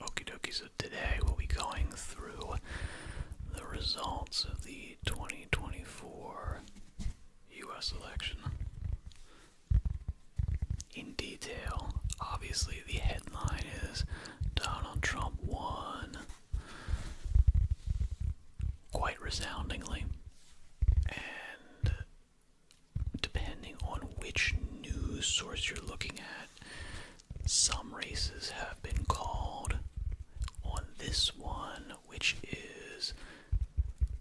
Okie dokie, so today we'll be going through the results of the 2024 US election in detail. Obviously, the headline is Donald Trump won quite resoundingly, and depending on which news source you're looking at, some races have been called. On this one, which is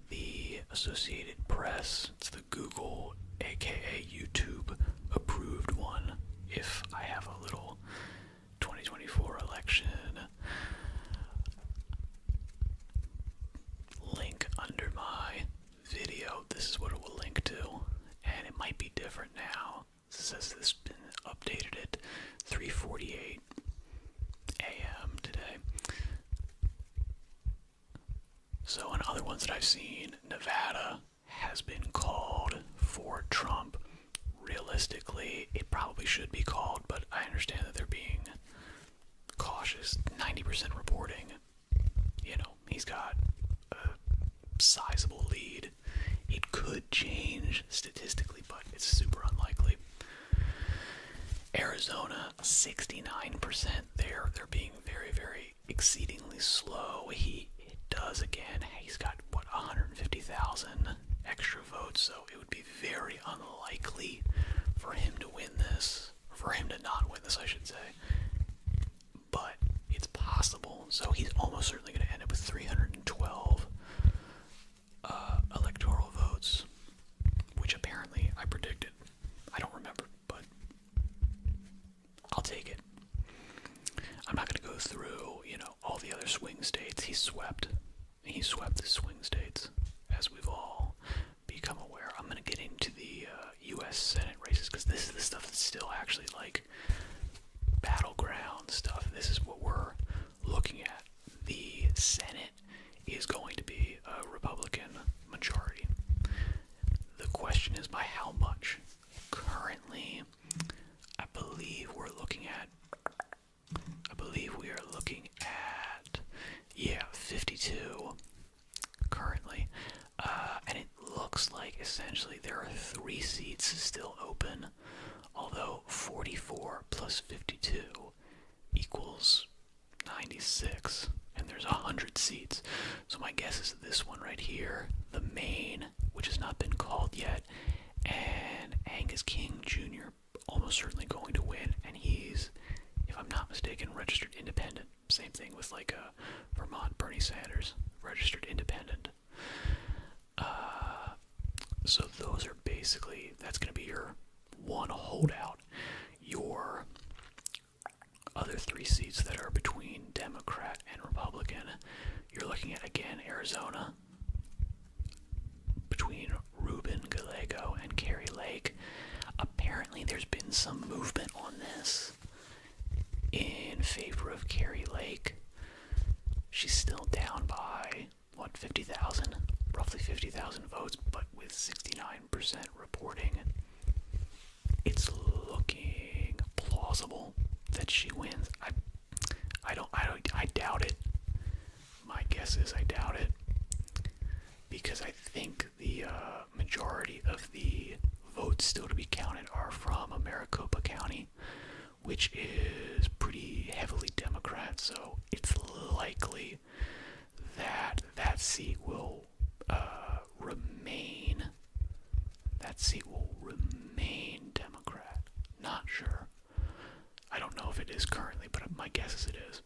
the Associated Press, it's the Google, aka YouTube, approved one. If I have a little 2024 election link under my video, this is what it will link to, and it might be different now. says this has been updated at 3:48 a.m. today. So, in other ones that I've seen, Nevada has been called for Trump. Realistically, it probably should be called, but I understand that they're being cautious. 90% reporting you know, he's got a sizable lead. It could change statistically, but it's super unlikely. Arizona, 69%. There, they're being very, very exceedingly slow. He it does again. He's got what 150,000 extra votes, so it would be very unlikely for him to win this, for him to not win this, I should say but it's possible. So he's almost certainly going to end up with 312 uh, electoral votes, which apparently I predicted. I don't remember, but I'll take it. I'm not going to go through, you know, all the other swing states he swept. He swept the swing states, as we've all become aware. I'm going to get into the uh, U.S. Senate races because this is the stuff that's still actually like battleground stuff. This is what we're looking at. The Senate is going to be a Republican majority. The question is by how much. Currently, I believe we're looking at. I believe we are looking at. Yeah, 52 currently. Uh, and it looks like essentially there are three seats still open, although 44 plus 52 equals 96, and there's 100 seats. So my guess is this one right here, the main, which has not been called yet, and Angus King Jr. almost certainly going to win, and he's, if I'm not mistaken, registered independent. Same thing with like uh, Vermont Bernie Sanders, registered independent. Uh, so those are basically that's going to be your one holdout. Your other three seats that are between Democrat and Republican, you're looking at again Arizona between Ruben Gallego and Carrie Lake. Apparently, there's been some movement on this in favor of Carrie Lake. She's still down by what 50,000, roughly 50,000 votes, but with 69% reporting. It's looking plausible that she wins. I I don't I don't I doubt it. My guess is I doubt it because I think the uh, majority of the votes still to be counted are from Maricopa County, which is pretty heavily Democrat, so it's likely that that seat will uh, remain. That seat will remain Democrat. Not sure. I don't know if it is currently, but my guess is it is.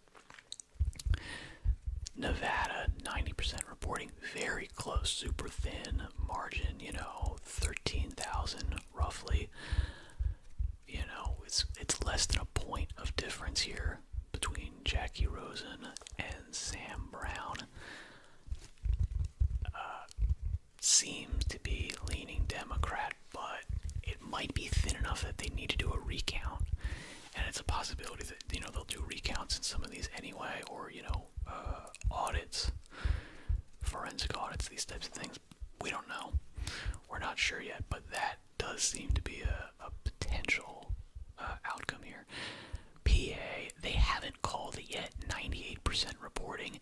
Nevada, 90% reporting, very close, super thin margin, you know, 13,000 roughly. You know, it's it's less than a point of difference here between Jackie Rosen and Sam Brown. Uh, seems to be leaning Democrat, but it might be thin enough that they need to do a recount and it's a possibility that you know they'll do recounts in some of these anyway, or you know uh, audits, forensic audits, these types of things. We don't know. We're not sure yet, but that does seem to be a, potential uh, outcome here. PA, they haven't called it yet. 98% reporting.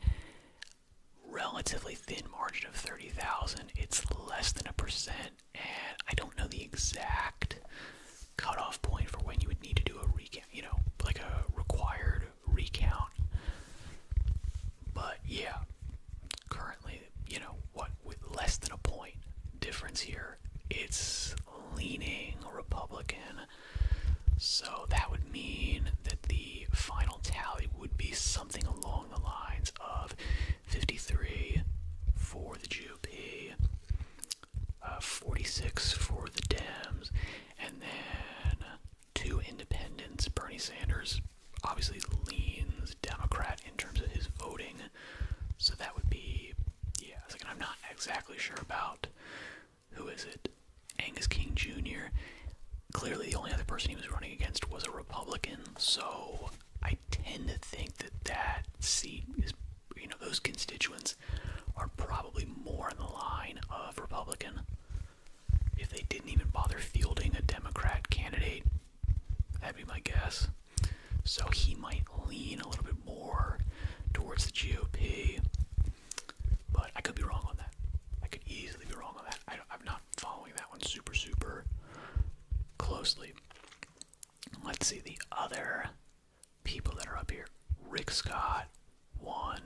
Relatively thin margin of 30,000. It's less than a percent and I don't know the exact cutoff point for when you would need to do a recount, you know, like a required recount. But yeah, currently, you know, what with less than a point difference here, it's leaning Republican. So that would mean that the final tally would be something along the lines of 53 for the GOP, uh, 46 for the Dems, and then two independents. Bernie Sanders obviously leans Democrat in terms of his voting, so that would be, yeah, second, I'm not exactly sure about who is it? Angus King Jr. Clearly, the only other person he was running against was a Republican, so I tend to think that that seat is you know those constituents are probably more in the line of Republican. If they didn't even bother fielding a Democrat candidate, that'd be my guess. So he might lean a little bit more towards the GOP, but I could be wrong on that. I could easily be wrong on that. I I'm not following that one super, super closely. Let's see the other people that are up here. Rick Scott won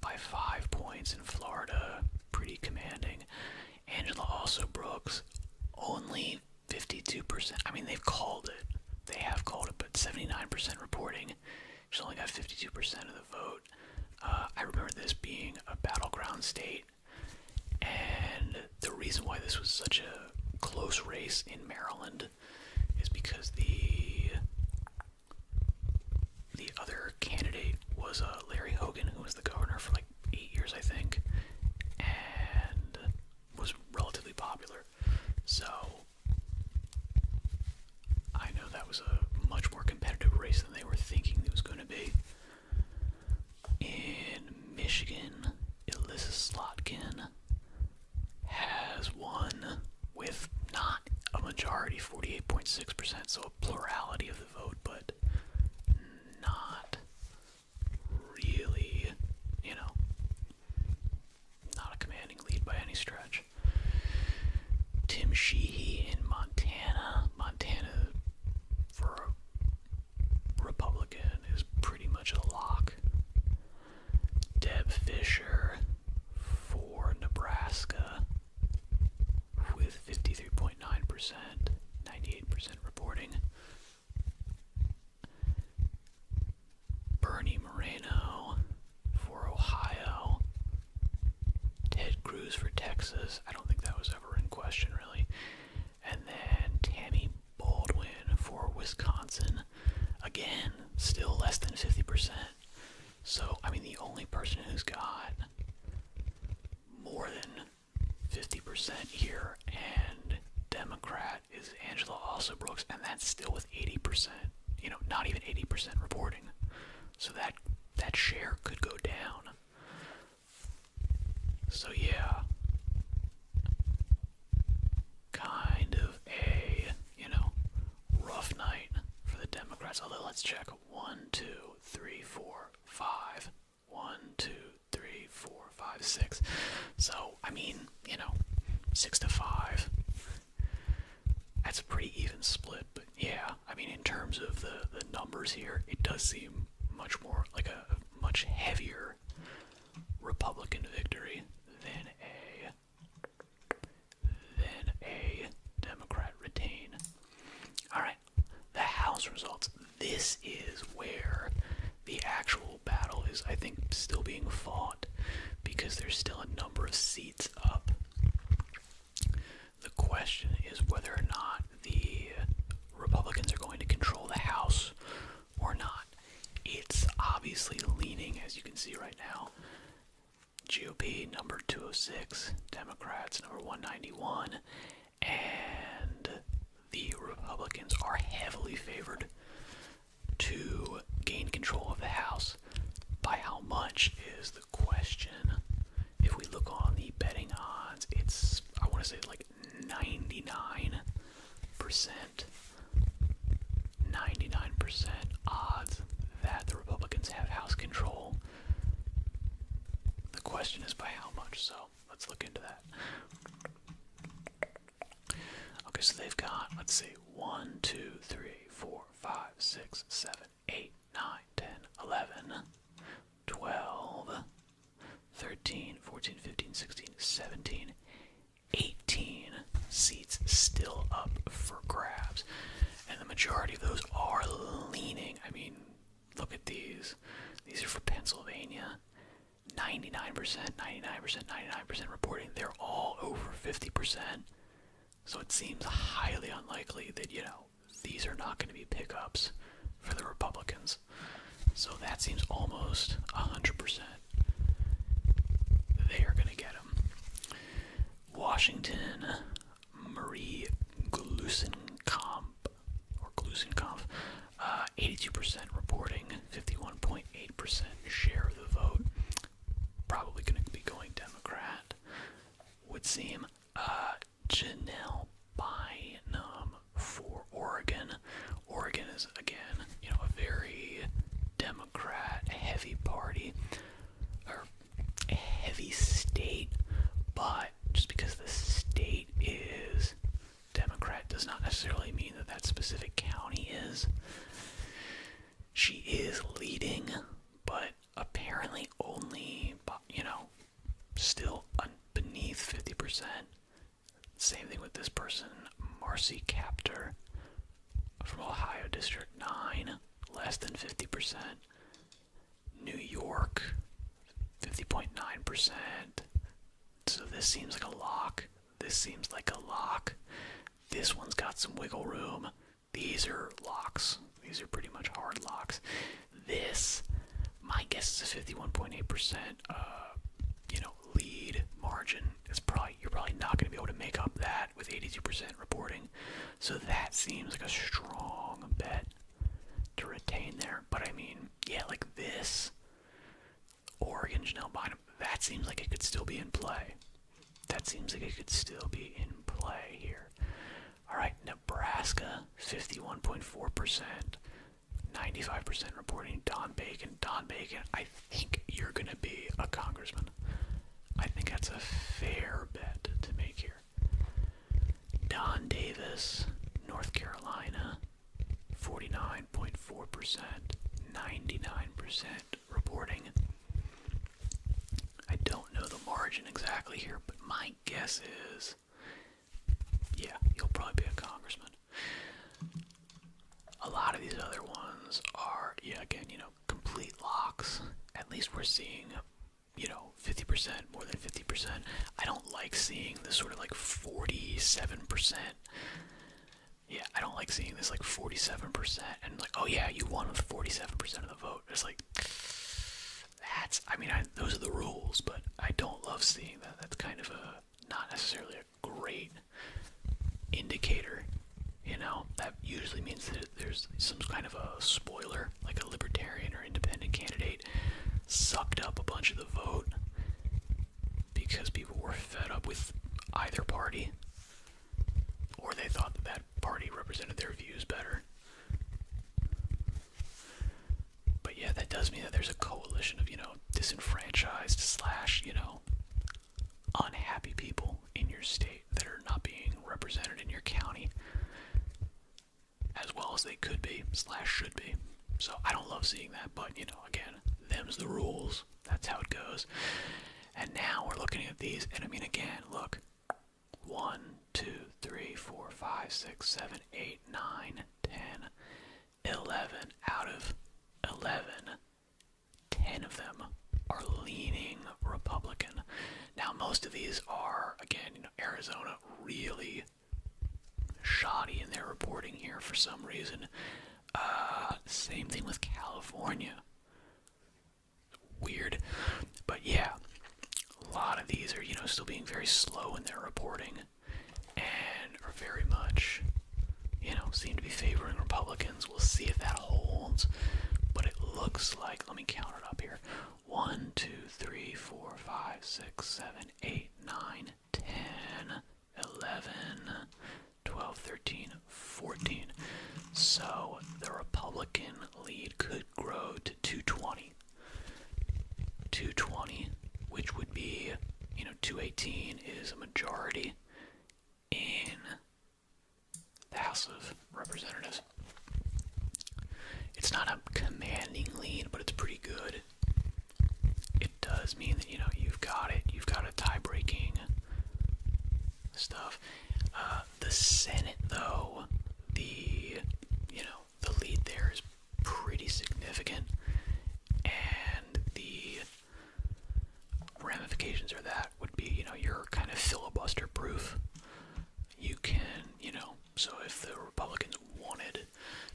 by five points in Florida, pretty commanding. Angela also Brooks, only 52%. I mean, they've called it. They have called it, but 79% reporting. She's only got 52% of the vote. Uh, I remember this being a battleground state and the reason why this was such a close race in Maryland is because the the other candidate was uh, Larry Hogan, who was the governor for like eight years, I think, and was relatively popular. So I know that was a much more competitive race than they were thinking it was going to be in Michigan, Alyssa Slotkin has won with not a majority, 48.6%, so a plurality of the vote, but not really, you know, not a commanding lead by any stretch. Tim Sheehy in Montana. Montana, for Republican is pretty much a lock. Deb Fisher for Nebraska with 53.9%, 98% reporting. Bernie Moreno for Ohio. Ted Cruz for Texas. I don't think that was ever in question, really. And then Tammy Baldwin for Wisconsin. Again, still less than 50%. So, I mean, the only person who's got more than 50% here and Democrat is Angela Also Brooks, and that's still with 80%, you know, not even 80% reporting. So that that share could go down. So, yeah. Kind of a, you know, rough night for the Democrats. Although, let's check. One, two, three, four, five. One, two, three, four, five, six. So, I mean, you know, six to five. That's a pretty even split, but yeah, I mean, in terms of the, the numbers here, it does seem much more like a much heavier Republican victory then a then a Democrat retain. All right, the House results. This is where the actual battle is, I think, still being fought because there's still a number of seats up. The question is whether or not the Republicans are going to control the House or not. It's obviously leaning, as you can see right now. GOP number 206, Democrats number 191, and the Republicans are heavily favored to gain control of the House. By how much is the question? If we look on the betting odds, it's, I want to say, like 99 percent 99 percent odds that the Republicans have House control. The question is by how much, so let's look into that. Okay, so they've got, let's see, 1, 2, 3, 4, 5, 6, 7, 8, 9, 10, 11, 12, 13, 14, 15, 16, 17, 18 seats still up for grabs. And the majority of those are leaning. I mean, look at these. These are for Pennsylvania. 99%, 99%, 99% reporting. They're all over 50%. So it seems highly unlikely that, you know, these are not going to be pickups for the Republicans. So that seems almost 100%. They are going to get him. Washington, Marie Glusenkamp, or Glusenkamp, uh, 82% reporting, 51.8% share of the vote. Probably going to be going Democrat, would seem. Uh, Janelle Bynum, for Oregon. Oregon is again, you know, a very Democrat heavy party or a heavy state, but just because the state is Democrat does not necessarily mean that that specific county is. She is leading, but apparently only, you know, still beneath 50%. Same thing with this person, Marcy Captor from Ohio District 9, less than 50%. New York, 50.9%. So this seems like a lock. This seems like a lock. This one's got some wiggle room. These are locks. These are pretty much hard locks this. My guess is a 51.8%, uh, you know, lead margin. It's probably you're probably not going to be able to make up that with 82% reporting. So that seems like a strong bet to retain there. But I mean, yeah, like this Oregon Janelle Bynum, that seems like it could still be in play. That seems like it could still be in play here. All right, Nebraska, 51.4%. 95% reporting Don Bacon. Don Bacon, I think you're going to be a congressman. I think that's a fair bet to make here. Don Davis, North Carolina, 49.4%, 99% reporting. I don't know the margin exactly here, but my guess is yeah, you'll probably be a congressman. A lot of these other ones are, yeah, again, you know, complete locks. At least we're seeing, you know, 50%, more than 50%. I don't like seeing this sort of like 47%. Yeah, I don't like seeing this like 47% and like, oh yeah, you won with 47% of the vote. It's like, that's, I mean, those are the rules, but I don't love seeing that that's kind of a not necessarily a great indicator you know that usually means that there's some kind of a spoiler like a libertarian or independent candidate sucked up a bunch of the vote because people were fed up with either party or they thought that that party represented their views better but yeah, that does mean that there's a coalition of, you know, disenfranchised slash, you know, unhappy people in your state that are not being represented in your county as well as they could be slash should be. So I don't love seeing that, but you know, again, them's the rules. That's how it goes. And now we're looking at these, and I mean, again, look. One, two, three, four, five, six, seven, eight, nine, 10, out of 11, 10 of them are leaning Republican. Now, most of these are, again, Arizona really shoddy in their reporting here for some reason. Uh, same thing with California. Weird. But yeah, a lot of these are, you know, still being very slow in their reporting and are very much, you know, seem to be favoring Republicans. We'll see if that holds, but it looks like, let me count it up here 1, 2, 3, 4, 5, 6, 7, 8, 9, 10, 11, 12, 13, 14. So the Republican lead could grow to 220. 220, which would be, you know, 218 is a majority in the House of Representatives. It's not a commanding lead, but it's pretty good. It does mean that, you know, you've got it, you've got a tie breaking stuff. Uh, the Senate, though, the, you know, the lead there is pretty significant, and the ramifications of that would be, you know, you're kind of filibuster proof. You can, you know, so if the Republicans wanted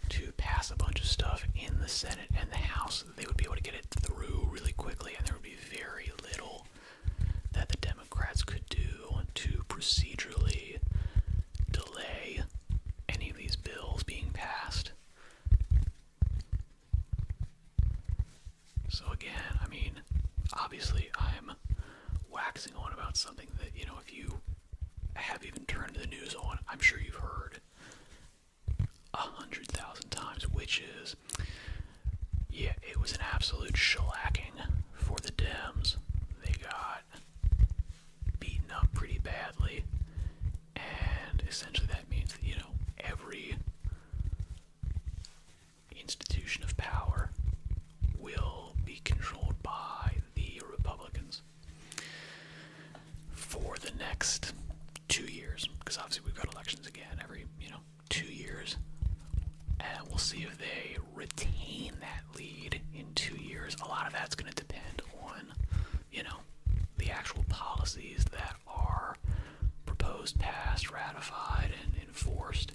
to pass a bunch of stuff in the Senate and the House, they would be able to get it through really quickly, and there would be very little that the Democrats could do to procedurally delay any of these bills being passed. So again, I mean, obviously I'm waxing on about something that, you know, if you have even turned the news on, I'm sure you've heard a hundred thousand times, which is, yeah, it was an absolute shellacking for the Dems. They got beaten up pretty badly, and essentially that means that, you know, every institution of power will be controlled by the Republicans for the next two years, because obviously we've got elections again every, you know, two years, and we'll see if they retain that lead in two years, a lot of that's going to depend on, you know, the actual policies that are proposed, passed, ratified, and enforced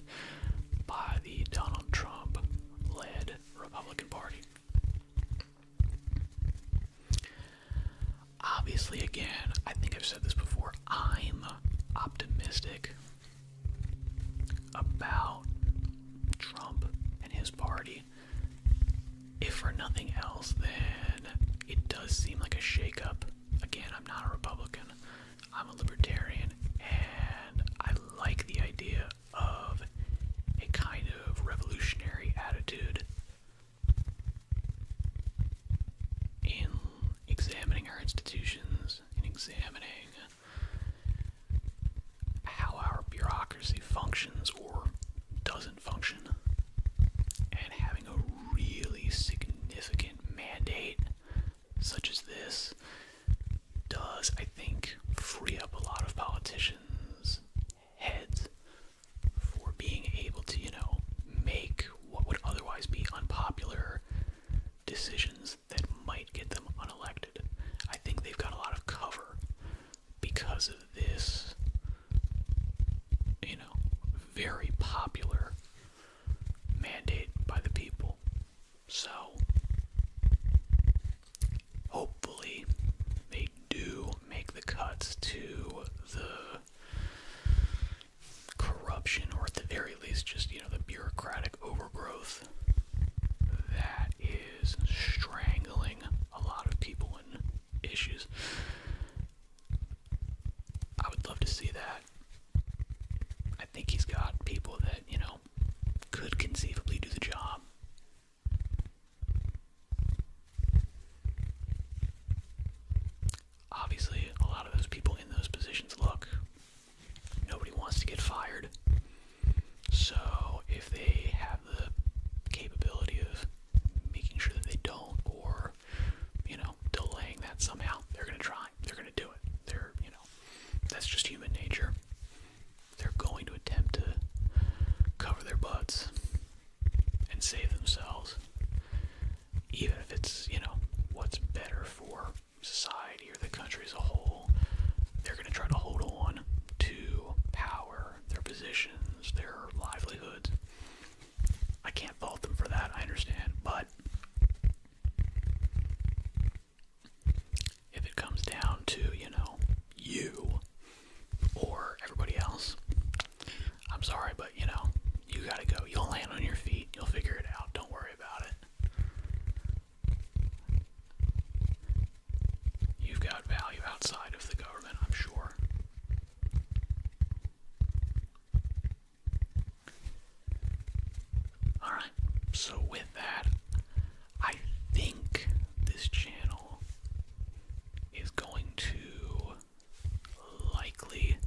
by the Donald Trump led Republican Party. Obviously, again, I think I've said this before, I'm optimistic about Trump and his party, if for nothing else, then it does seem like a shakeup. Again, I'm not a Republican, I'm a libertarian, and I like the idea of a kind of revolutionary attitude. In examining our institutions, in examining how our bureaucracy functions or doesn't function, and having a really significant mandate such as this does, I think, free up a lot of politicians' heads for being able to, you know, make what would otherwise be unpopular decisions that might get them unelected. I think they've got a lot of cover because of this, you know, very popular mandate by the people. So, hopefully, they do make the cuts to the corruption, or at the very least, just, you know, the bureaucratic overgrowth that is strangling a lot of people and issues. I would love to see that. I think he's got people that, you know, could conceivably do the job. Obviously, a lot of those people in those positions look. Nobody wants to get fired. So if they have the capability of making sure that they don't, or you know, delaying that somehow, they're gonna try. They're gonna do it. They're you know, that's just human nature. They're going to attempt to cover their butts and save themselves, even if it's you know what's better for society or the country as a whole, they're going to try to hold on to power, their positions, their livelihoods. I can't fault them for that, I understand, but if it comes down to, you know, you or everybody else, I'm sorry, but you know, you gotta go. You'll land on your feet, you'll figure it out, don't worry about it. You've got value outside of the government, I'm sure. Alright, so with that, I think this channel is going to likely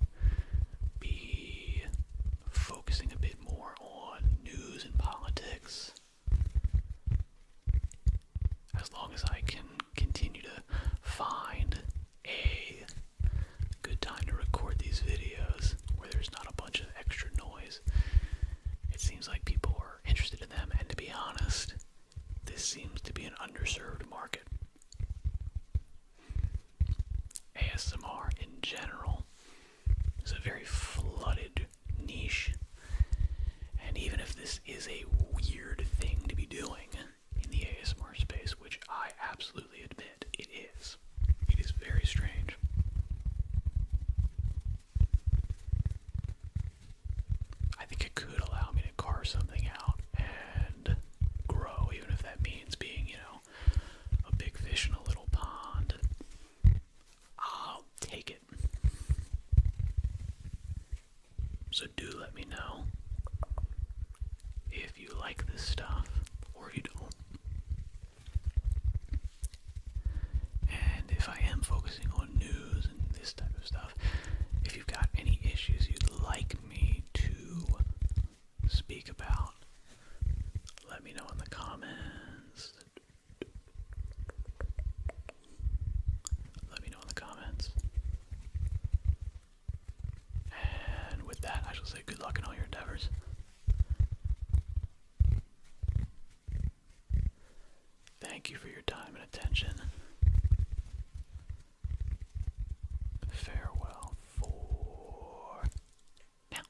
be focusing a bit more on news and politics as long as I can continue to find a good time to record these videos where there's not a bunch of extra noise, it seems like people are interested in them, and to be honest, this seems to be an underserved market. ASMR in general it's a very flooded niche. And even if this is a weird thing to be doing in the ASMR space, which I absolutely admit it is, it is very strange. I think it could allow me to carve something out and grow, even if that means being, you know, a big fish in a little pond. I'll take it. So, do let me know if you like this stuff or you don't. And if I am focusing on news and this type of stuff, if you've got any issues you'd like me to speak about, let me know in the comments let me know in the comments. And with that, I shall say good luck in all your endeavors. Thank you for your time and attention. Farewell for now.